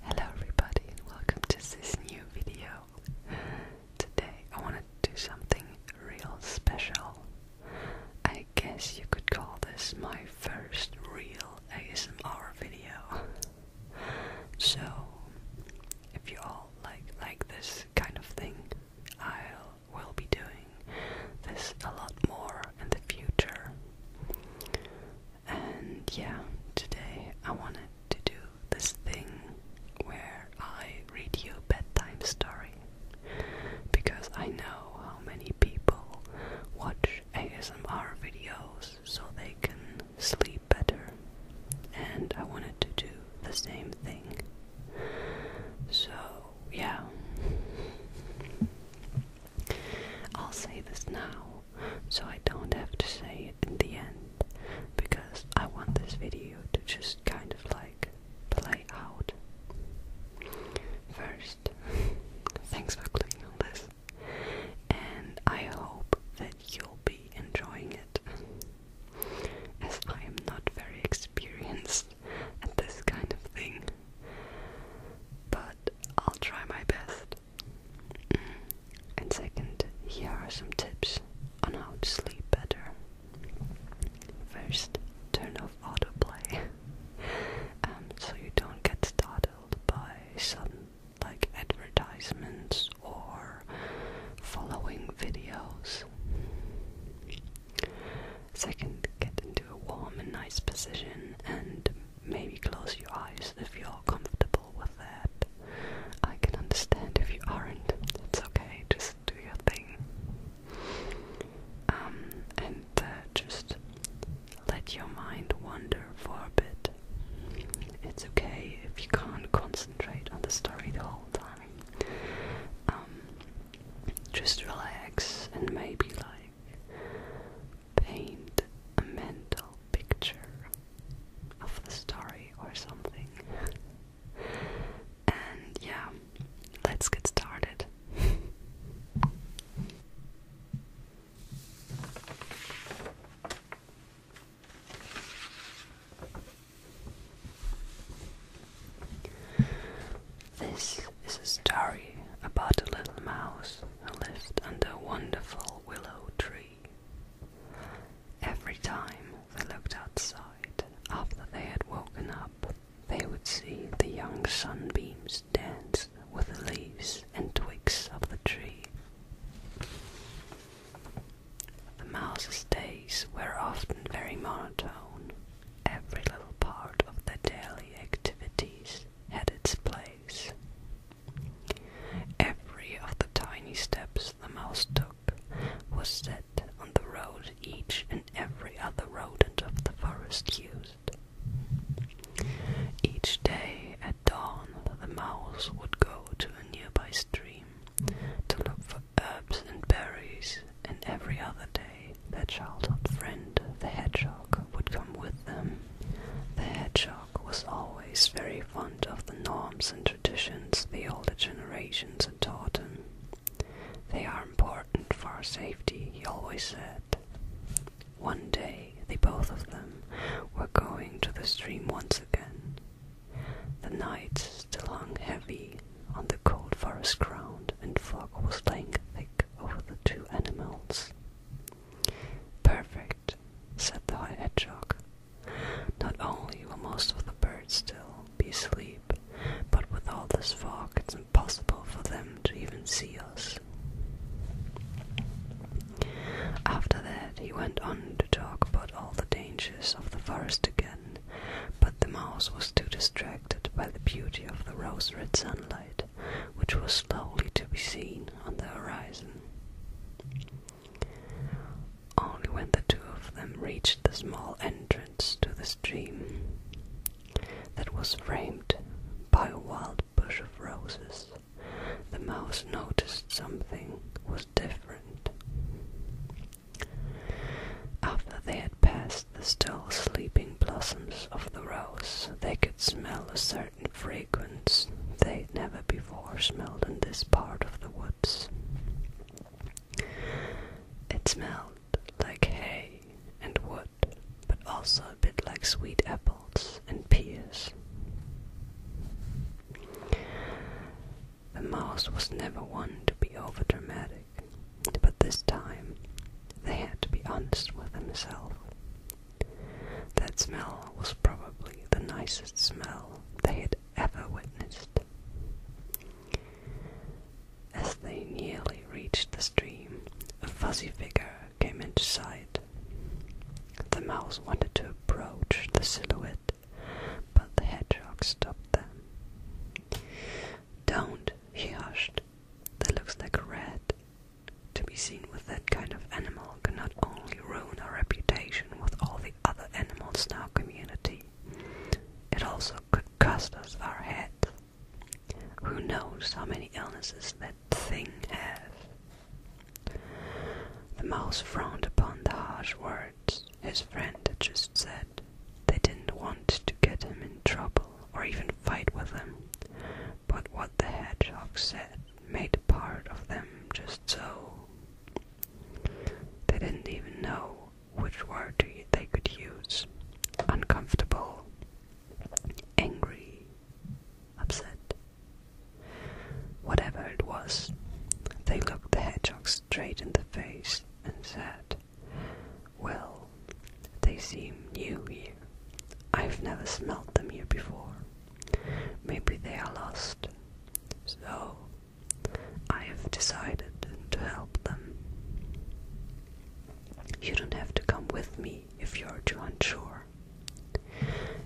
Hello everybody and welcome to this new video. Today I want to do something real special. I guess you could call this my first real ASMR video. So if you all like like this kind of thing, I'll we will be doing this a lot more in the future. And yeah, today I wanted to do this thing where I read you a bedtime story because I know how many people watch ASMR videos so they can sleep better, and I wanted to do the same thing. So yeah. I'll say this now so I don't have to say it in the end because I want this video to just kind of like play out. First, thanks for clicking on this and I hope that you'll be enjoying it. As I am not very experienced at this kind of thing, but I'll try my best. Mm. And second, here are some tips on how to sleep better. First, turn off autoplay um, so you don't get startled by sudden like advertisements or following videos. Second, get into a warm and nice position and maybe close your eyes if you're comfortable with that. I can understand if you aren't. It's okay, just do your thing. Um, and uh, just let your mind wander for a bit. It's okay if you can't concentrate on the story the whole time. Um, just relax and maybe like paint a mental picture of the story or something. And yeah, let's get started. This is a story about a little mouse who lived under a wonderful willow tree. Every time they looked outside after they had woken up, they would see the young sunbeams dance with the leaves and twigs of the tree. The mouse's days were often very monotone. Every little part of the daily activities had its place. Every of the tiny steps the mouse took was set on the road each and every other rodent of the forest used. Each day at dawn, the mouse would go to a nearby stream to look for herbs and berries, and every other day their childhood friend, the hedgehog, would come with them. The hedgehog was always very fond of the norms and traditions the older generations had taught him. They are important for our safety, he always said. One day, the both of them were going to the stream once again. The night still hung heavy on the cold forest ground, and fog was laying thick over the two animals. Perfect, said the hedgehog. Not only will most of the birds still be asleep, but with all this fog, it's impossible for them to even see us. After that, he went on to talk about all the dangers of the forest again, but the mouse was too distracted by the beauty of the rose red sunlight, which was slowly to be seen on the horizon. Only when the two of them reached the small entrance to the stream that was framed by a wild bush of roses, the mouse noticed something different. After they had passed the still sleeping blossoms of the rose, they could smell a certain fragrance they had never before smelled in this part of the woods. It smelled like hay and wood, but also a bit like sweet apples and pears. The mouse was never one to be over dramatic, but this time they had to be honest with themselves. That smell was probably the nicest smell they had ever witnessed. As they nearly reached the stream, a fuzzy figure came into sight. The mouse wanted to approach the silhouette, but the hedgehog stopped them. Don't, he hushed. That looks like a rat. To be seen with that kind of animal can not only ruin our reputation with all the other animals in our community, it also could cost us our heads. Who knows how many illnesses that thing has? The mouse frowned upon the harsh words his friend had just said. They didn't want to get him in trouble or even fight with him, but what the hedgehog said made part of them just so. They didn't even know which word they could use uncomfortable, angry, upset, Whatever it was, they looked the hedgehog straight in the face and said, Well, they seem new here. I've never smelled them here before. Maybe they are lost. So, I have decided to help them. You don't have to come with me if you're too unsure.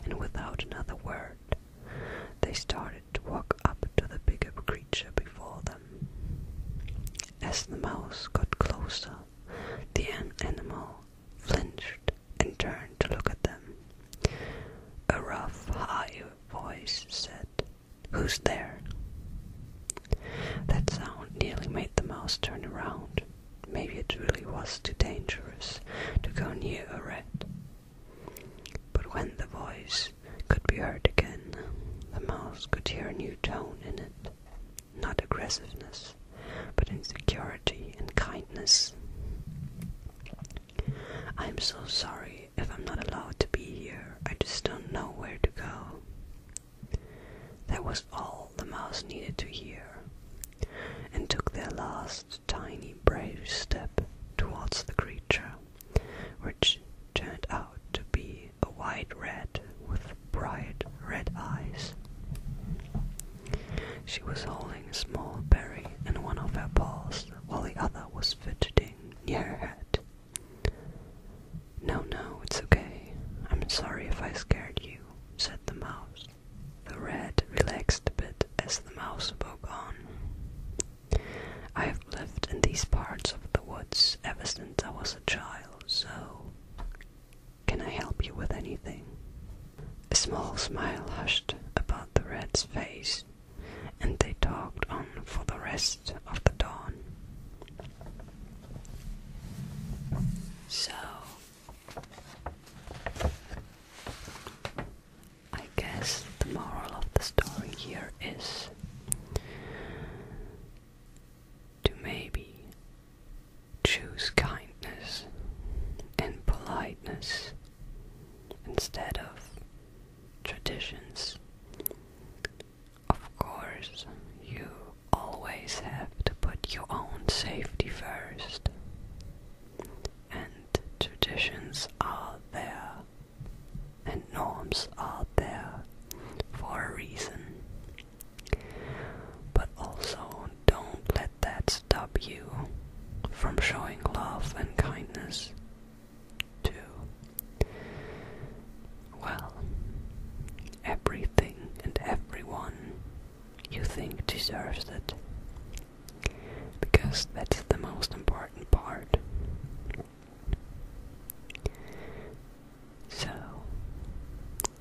And without another word, they started to walk up to the bigger creature before them. As the mouse got closer, the animal flinched and turned to look at them. A rough, high voice said, Who's there? That sound nearly made the mouse turn around. Maybe it really was too dangerous to go near a rat. But when the voice could be heard again, the mouse could hear a new tone in it. Not aggressiveness, but insecurity and kindness. I'm so sorry if I'm not allowed to be here. I just don't know where to go. That was all the mouse needed to hear and took their last tiny brave step towards the creature, which turned out to be a white rat with bright red eyes. She was holding a small berry in one of her paws while the other was fidgeting near her head. No, no, it's okay. I'm sorry if I scared you said the mouse. The rat relaxed a bit as the mouse spoke on. I have lived in these parts of the woods ever since I was a child, so can I help you with anything? A small smile hushed about the rat's face, and they talked on for the rest of the dawn. So, I guess the moral of the story here is to maybe choose kindness and politeness instead of traditions of course, you always have to put your own safety first. And traditions are there, and norms are there for a reason. But also, don't let that stop you from showing love and kindness, too. Well, everything and everyone you think deserves it. Because that's the most important part. So,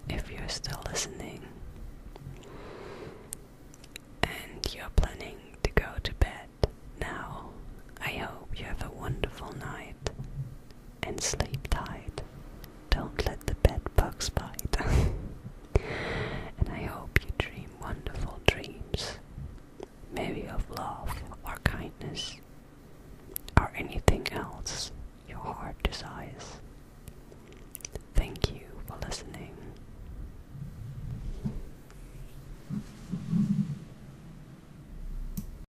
if you're still listening and you're planning to go to bed now, I hope you have a wonderful night and sleep tight. Don't let the bed bugs bite. and I hope you dream wonderful dreams. Maybe of love or kindness or anything else your heart desires. Thank you for listening.